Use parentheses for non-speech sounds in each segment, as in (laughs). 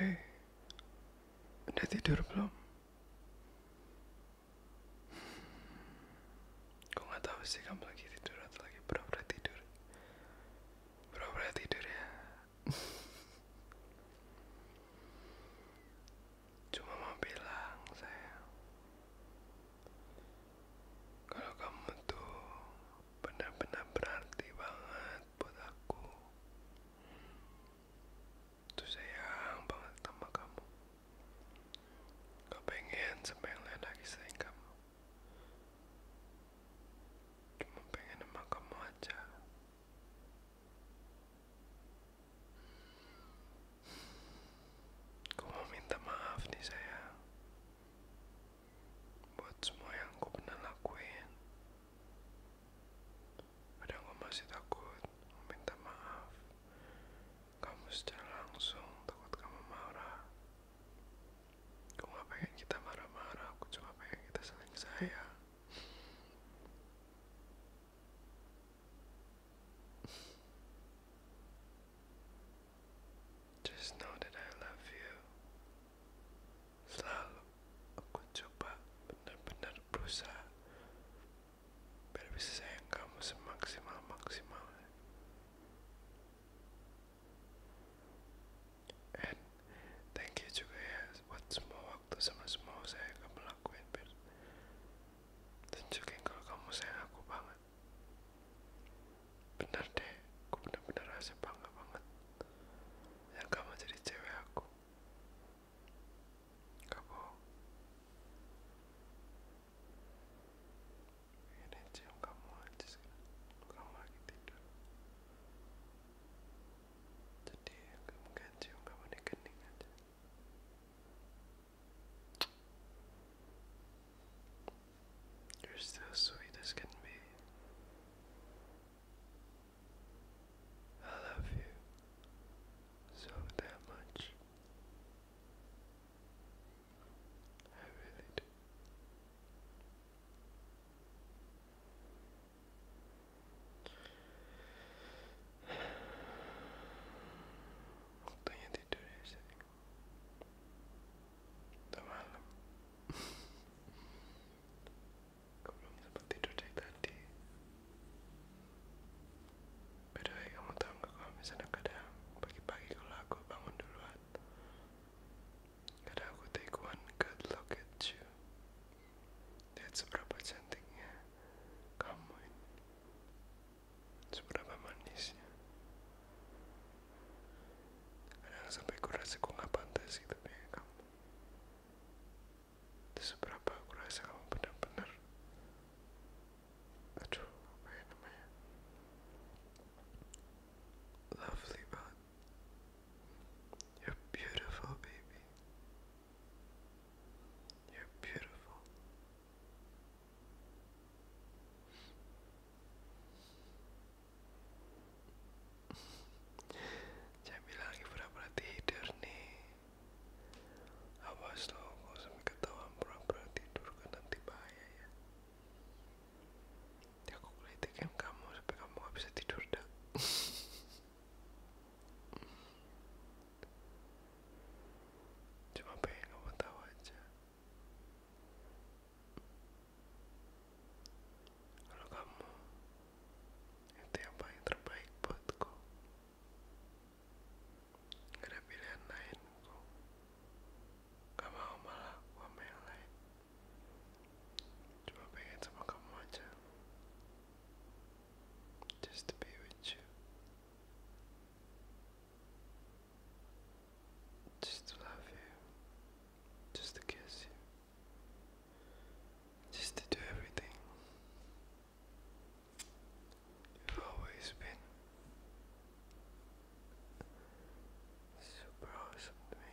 Eh, udah tidur belum? Gue gak tau sih kamu lagi tidur atau lagi pura-pura tidur Pura-pura tidur ya (laughs) Cuma mau bilang saya Kalau kamu tuh benar-benar berarti banget buat aku tuh sayang banget sama kamu Kau pengen sampai lain lagi sayang kamu cuma pengen sama kamu aja Kau mau minta maaf nih saya buat semua yang aku pernah lakuin. Padahal aku masih takut meminta maaf. Kamu secara langsung takut kamu marah. Aku gak pengen kita marah-marah, aku cuma pengen kita saling sayang. Just know that I love you. Selalu aku coba benar-benar berusaha biar bisa sayang kamu semaksimal maksimalnya. And thank you juga ya buat semua waktu sama semua saya kamu lakuin biar tunjukin kalau kamu sayang aku banget benar deh, gue benar-benar rasa bangga banget yang kamu jadi cewek aku. Kamu ini cium kamu aja sekarang, kamu lagi tidur. Jadi aku mungkin cium kamu di kening aja. You're still sweet as can be. I love you so that much. I really do. Voltei a tidur ya sih. Udah malam. Kau (laughs) belum dapat tidur dari tadi? By the way, kamu tahu nggak kalau misalnya kadang pagi-pagi kalau aku bangun duluan, kadang aku take one good look at you. Lihat seberapa cantiknya kamu ini seberapa manisnya kadang sampai gue kok gak pantas gitu kayak kamu seberapa kurasa kamu benar-benar aduh apa ya namanya lovely banget you're beautiful baby You're beautiful. (laughs) Jamila lagi pura-pura tidur nih. Awas lo, gak usah ketahuan pura-pura tidur kan nanti bahaya ya. Ya aku kelitikin kamu sampai kamu gak tidur dah. (laughs) cuma pengen kamu aja kalau kamu itu yang paling terbaik buatku gak ada pilihan lain ku gak mau malah aku lain cuma pengen sama kamu aja just to be with you, just to love you, just to kiss you, just to do everything. You've always been super awesome to me.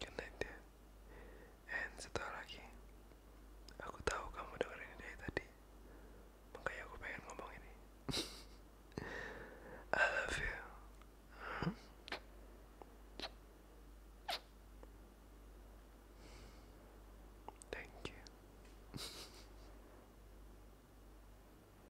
connected and setelah lagi aku tahu kamu dengar dari tadi makanya aku pengen ngomong ini (laughs) I love you thank you